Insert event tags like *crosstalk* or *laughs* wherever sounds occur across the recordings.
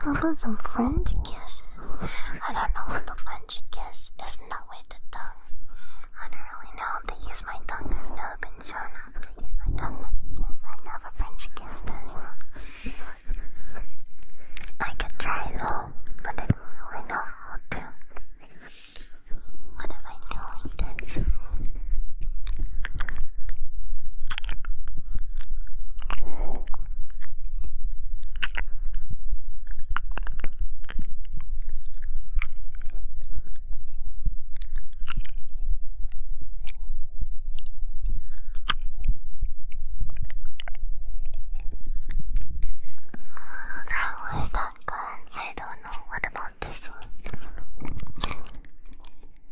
How about some French kisses? I don't know what the French kiss is not with the tongue. I don't really know They use my tongue. I've never been shown how to use my tongue when I never French kissed anyone. I could try though, but I don't really know how to. What am I go like that was that gun. I don't know. What about this one?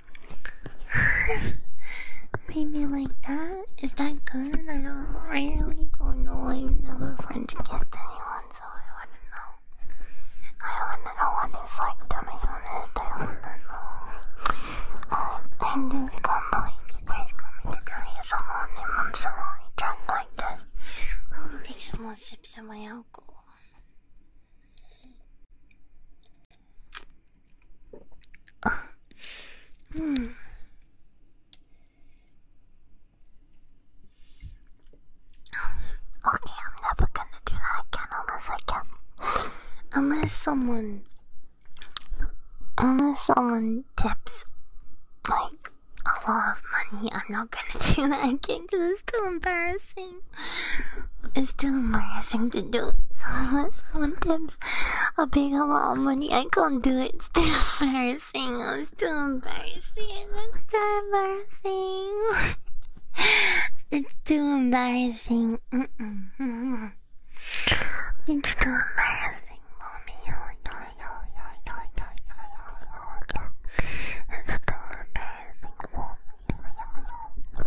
*laughs* Maybe like that? Is that good? I don't. I really don't know. I've never French kissed anyone, so I wanna know. I wanna know what it's like to be honest. I wanna know. Um, and I just can't believe you guys got me to tell you someone and I'm so only drunk like this. Let me take some more sips of my alcohol. Okay, I'm never gonna do that again unless I can. Unless someone. Unless someone tips like a lot of money, I'm not gonna *laughs* do that again because it's too embarrassing. It's too embarrassing to do it. So sometimes I pick up all money. I can't do it. It's still embarrassing. It's still embarrassing. It's still embarrassing. It's too embarrassing. It's too embarrassing, It's too embarrassing, it's so amazing. You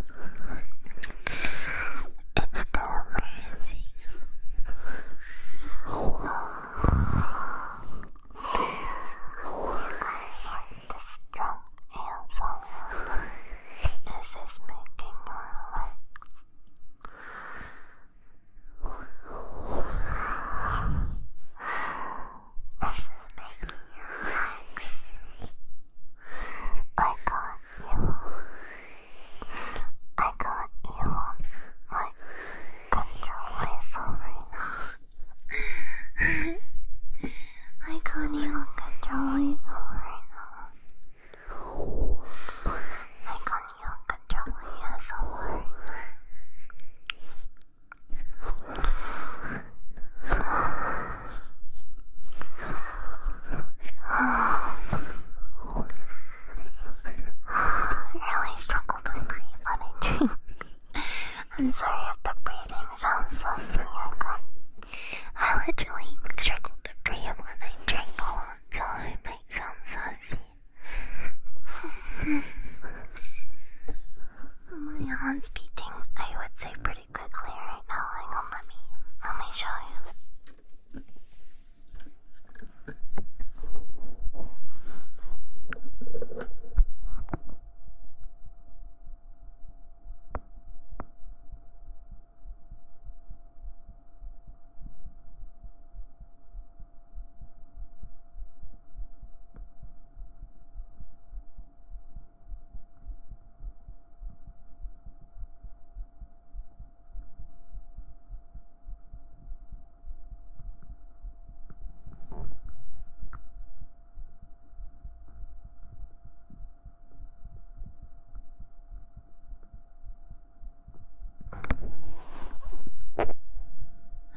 guys like the strong and sound. This is making our legs. This is making your legs. I got you. I got you on my control myself right now. I can't even control myself right now. I can't even control myself right now. I really struggled to breathe when I drink. I'm sorry if the breathing sounds so sick. I literally struggled to breathe when I drink a so it might sound so *laughs* My hand's beating, I would say, pretty quickly right now. Hang on, let me let me show you.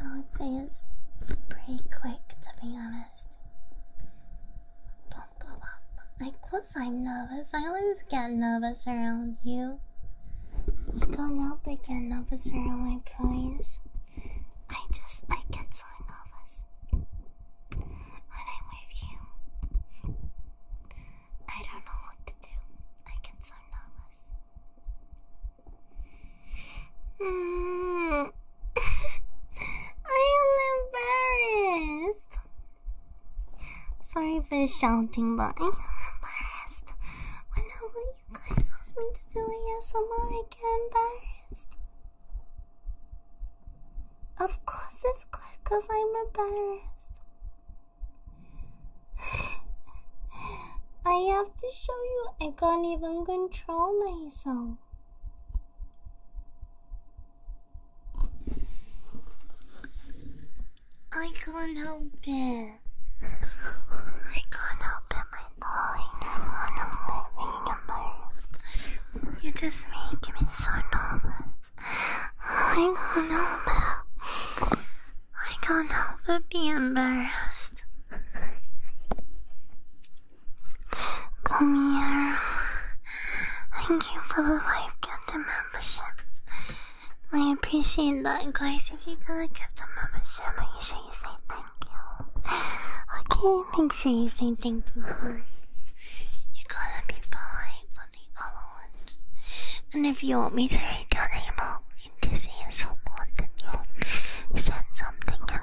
I would say it's pretty quick, to be honest nervous. Of I'm nervous. I always get nervous around you. do not help but get nervous around you, please. I just, I get so nervous when I'm with you. I don't know what to do. I get so nervous. Mm. *laughs* I am embarrassed. Sorry for shouting, but I am embarrassed. Whenever you guys ask me to do ASMR, I am get embarrassed. Of course, it's good because I'm embarrassed. *sighs* I have to show you I can't even control myself. I can't help it. I can't help it, my darling. I'm not moving your You just make me so nervous. I can't help it. I can't help but be embarrassed. Come here. Thank you for the five gifted membership. I appreciate that, guys. If you got a gifted membership, make sure you say thank you. Okay, make sure you say thank you for. You gotta be polite for the other ones. And if you want me to read your email, in this episode more than you send something at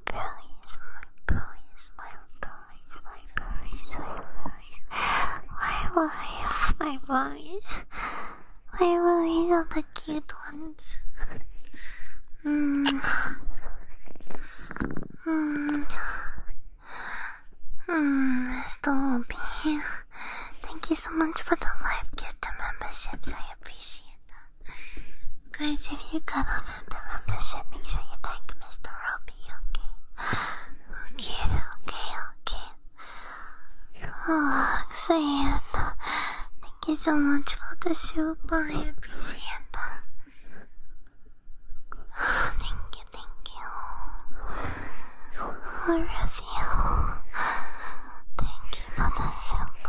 bullies, my bullies, my bullies, my bullies, my bullies, my bullies, my bullies, my bullies are the cute ones. Mm. Mm. Mm, Stompy, thank you so much for the live gift memberships. I appreciate that. Guys, if you got on that time of the ship, make sure you thank Mr. Robbie, okay? Okay, okay, okay. Oh, Xayan, thank you so much for the soup. I appreciate thank you, thank you. Where is you? Thank you for the soup.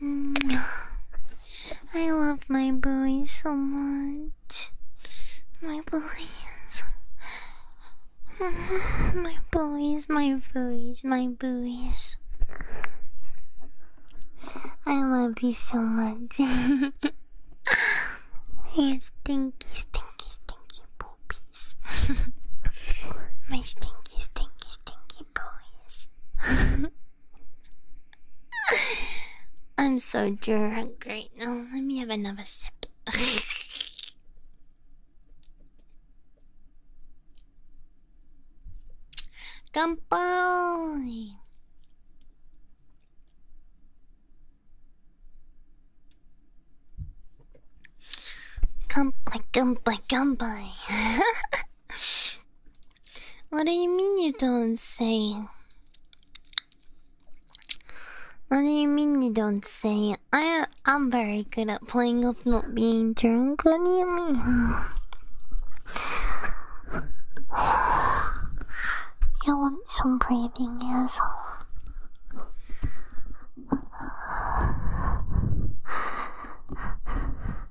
Mm. I love my boys so much. My boys. *laughs* My boys, my boys, my boys. I love you so much. Your stinky, stinky, stinky poopies. my stinky, stinky, stinky boys. *laughs* I'm so drunk right now. Let me have another sip. *laughs* Kanpai! Kanpai, kanpai, kanpai! *laughs* what do you mean you don't say? What do you mean you don't say? I I'm very good at playing off not being drunk. What do you mean? *sighs* you want some breathing, yes?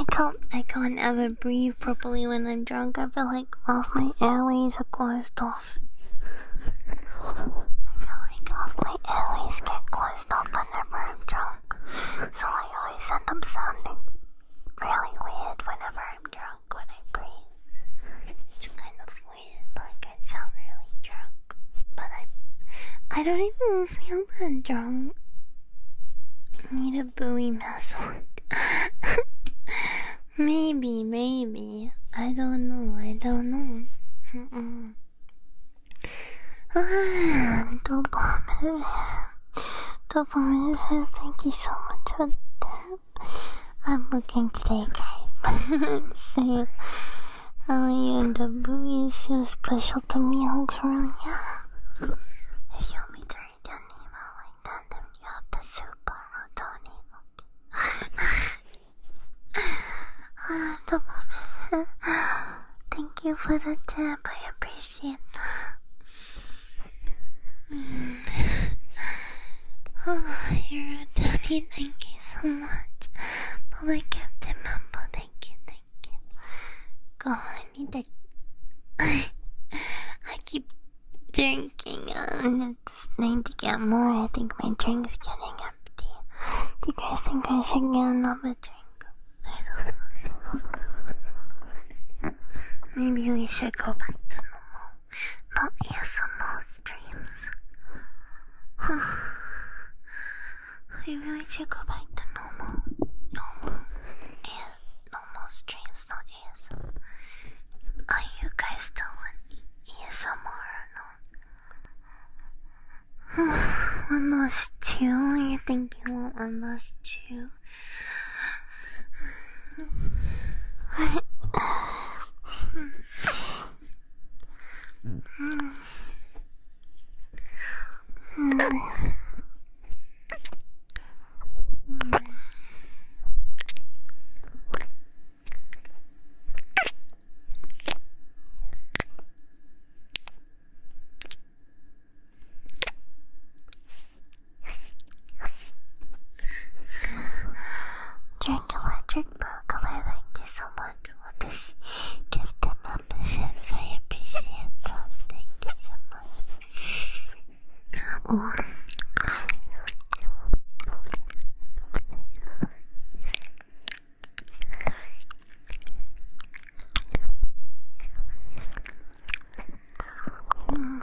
I can't I can't ever breathe properly when I'm drunk. I feel like all my airways are closed off. I feel like half my airways get closed off whenever I'm drunk. So I always end up sounding really weird whenever I'm drunk when I breathe. It's kind of weird, like I sound really drunk. But I I don't even feel that drunk. You Booey buoy muzzle. maybe, maybe. I don't know. I don't know. Mm -mm. Ah, Dopamine. Dopamine, thank you so much for that. I'm looking today, guys. See, *laughs* oh yeah, the booey is so special to me, Uncle. Yeah. Show me the sorry, do like that. you have the super Rodoni. Okay. Thank you for the tip. I appreciate that. *sighs* Oh, you're a daddy. Thank you so much. Public captain member. Thank you. God, I need to. *laughs* I keep drinking and um, just need to get more. I think my drink's getting empty. Do you guys think I should get another drink? *laughs* Maybe we should go back to normal. Not ASMR streams. Maybe *sighs* we should go back to normal. Normal normal streams, not ASMR. Are you guys doing ASMR or not? one lost two? You think you want one lost two? Mm. Mm. Drink a thank you so much for this 的吗？不是，再也不写了，那个什么，我。嗯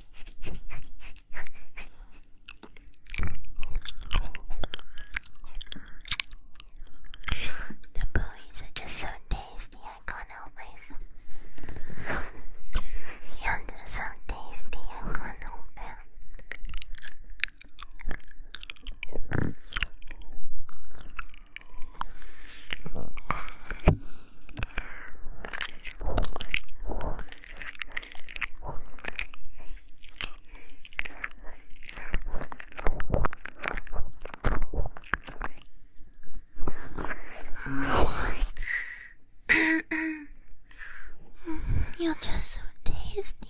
The bullies are just so tasty, I can't help myself. You're just so tasty, I can't help it. You're just so tasty.